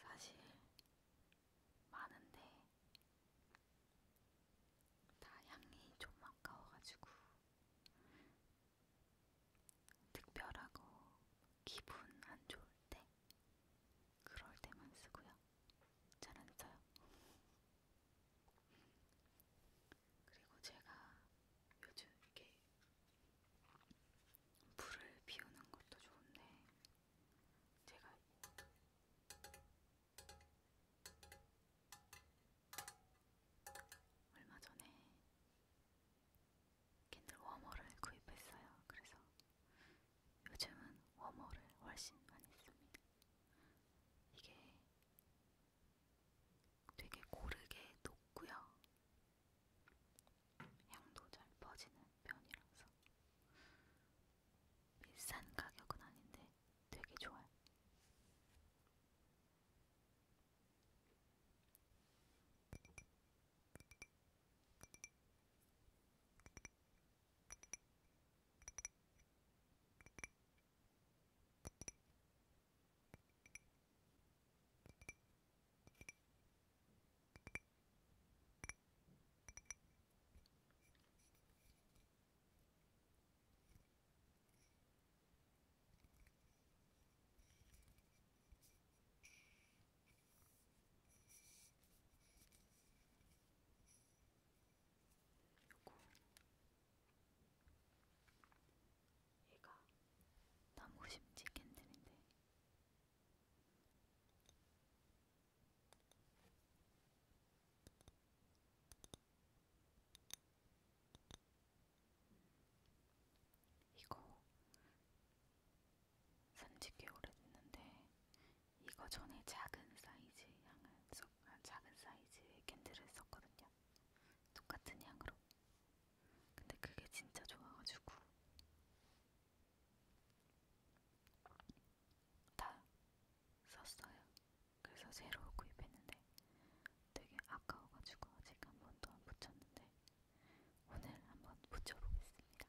사실 많은데 다 향이 좀 아까워가지고 특별하고 기분 안 좋을 때 그럴 때만 쓰고요. 잘안 써요. 그리고 제가 요즘 이렇게 불을 비우는 것도 좋은데 제가 얼마 전에 캔들 워머를 구입했어요. 그래서 요즘은 워머를 훨씬 많이 씁니다. 이게 되게 고르게 녹고요. 향도 잘 퍼지는 편이라서 비싼 가격은 아닌데 되게 좋아요. 요거 얘가 나무심지 캔들인데 이거 산지 꽤 오래됐는데 이거 전에 작은 사이즈 향을 써, 아, 작은 사이즈의 캔들을 썼거든요. 똑같은 향으로. 근데 그게 진짜 좋아가지고 다 썼어요. 그래서 새로 구입했는데 되게 아까워가지고 아직 한 번도 안 붙였는데 오늘 한 번 붙여보겠습니다.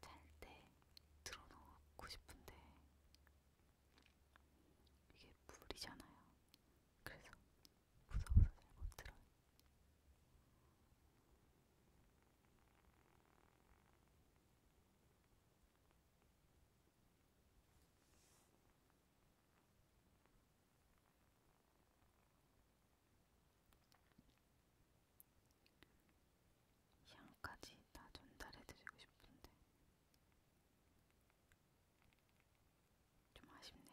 잘때 들어놓고 싶은데 이게 물이잖아요. 그래서 무서워서 잘 못 들어요. 향까지 다 전달해드리고 싶은데 좀 아쉽네요.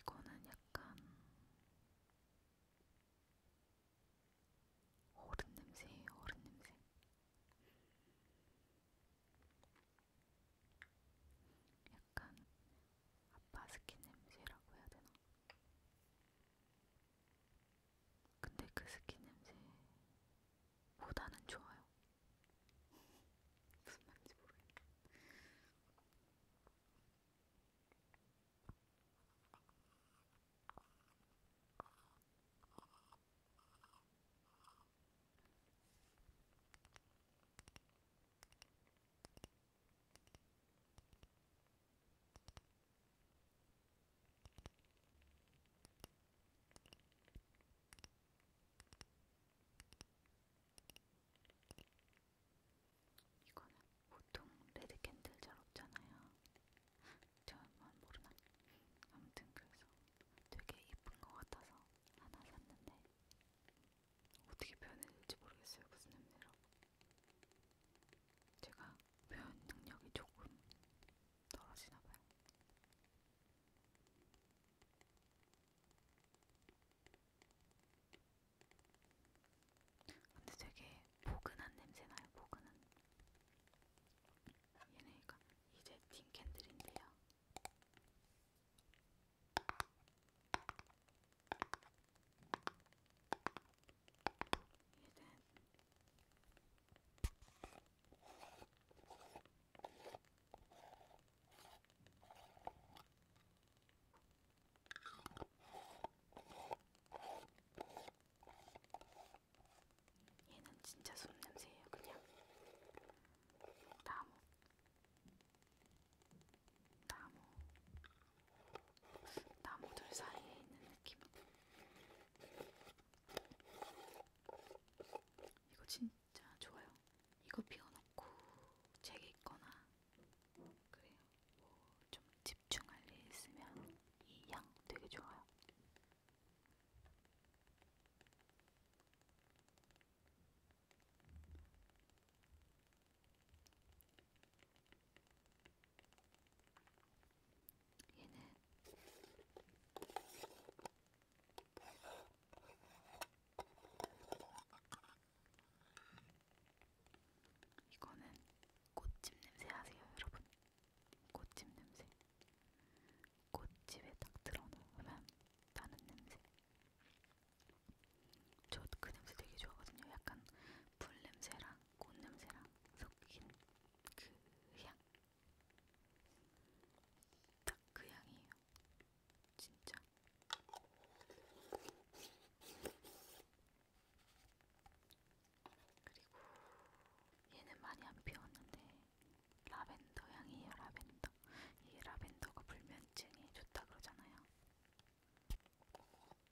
이거는 약간 어른 냄새예요, 어른 냄새. 약간 아빠 스킨 냄새라고 해야 되나? 근데 그 스킨 냄새보다는 좋아요. 무슨 말인지 모르겠네. 이거는 보통 레드 캔들 잘 없잖아요. 저만 모르나? 아무튼 그래서 되게 예쁜 것 같아서 하나 샀는데 어떻게 표현했는지 모르겠어요. 무슨 그 냄새로. 제가 표현 능력이 조금 떨어지나봐요. 근데 되게 포근한 냄새나요. 포근한. 얘네가 이제 틴 캔들인데요. 얘는 진짜 숲 냄새예요, 그냥. 나무. 나무, 나무들 사이에 있는 느낌. 이거 진짜 좋아요. 이거 피워놓고 책 읽거나 그래요. 뭐 좀 집중할 일 있으면 이 향 되게 좋아요. 얘는 이거는 꽃집 냄새 아세요, 여러분? 꽃집 냄새. 꽃집에 딱 들어놓으면 나는 냄새. 저그 냄새 되게 좋아하거든요. 약간 풀 냄새랑 꽃 냄새랑 섞인 그 향. 딱 그 향이에요. 진짜. 그리고 얘는 많이 안 피웠는데 라벤더 향이에요. 라벤더. 이 라벤더가 불면증에 좋다 그러잖아요.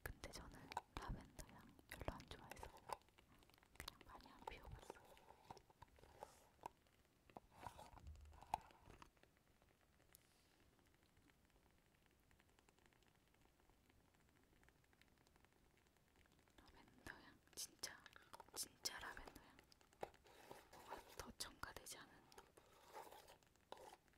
근데 저는 라벤더 향 별로 안 좋아해서 그냥 많이 안 피워봤어요. 라벤더 향 진짜 진짜 라벤더 향 뭐가 더 첨가되지 않은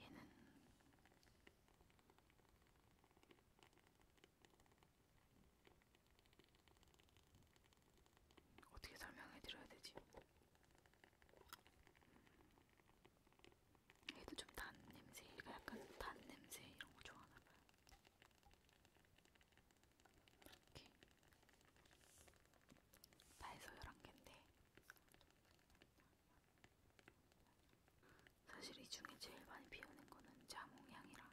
얘는 어떻게 설명해 드려야 되지? 얘도 좀 단 냄새, 얘가 약간 단 냄새 이런 거 좋아하나 봐요. 이렇게 발소 11개인데 사실 이 중에 제일 많이 비오는 거는 자몽향이랑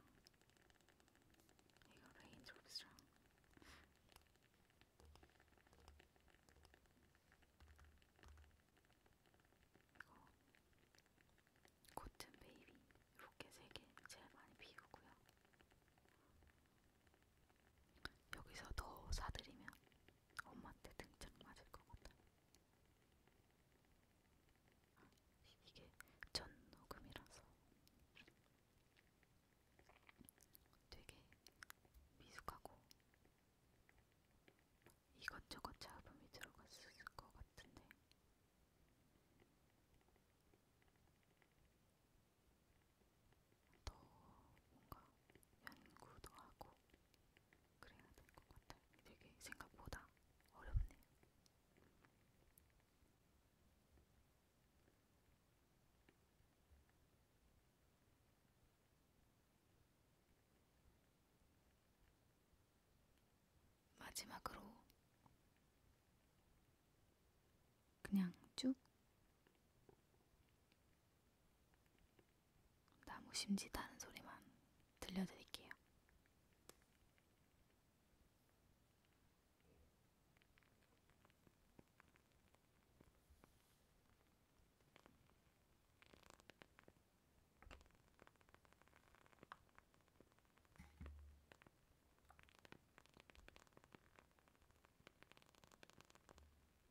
이거 레인드롭스랑 이거 코튼 베이비 이렇게 세개 제일 많이 비우고요. 여기서 더 사드리면 엄마한테 등짝 맞을 것 같아. 이게 전 녹음이라서 되게 미숙하고 이것저것 잡음이 들어갔을 것 같은데 더 뭔가 연구도 하고 그래야 될 것 같아요. 되게 생각보다 어렵네요. 마지막으로 그냥 쭉 나무 심짓하는 소리만 들려드릴게요.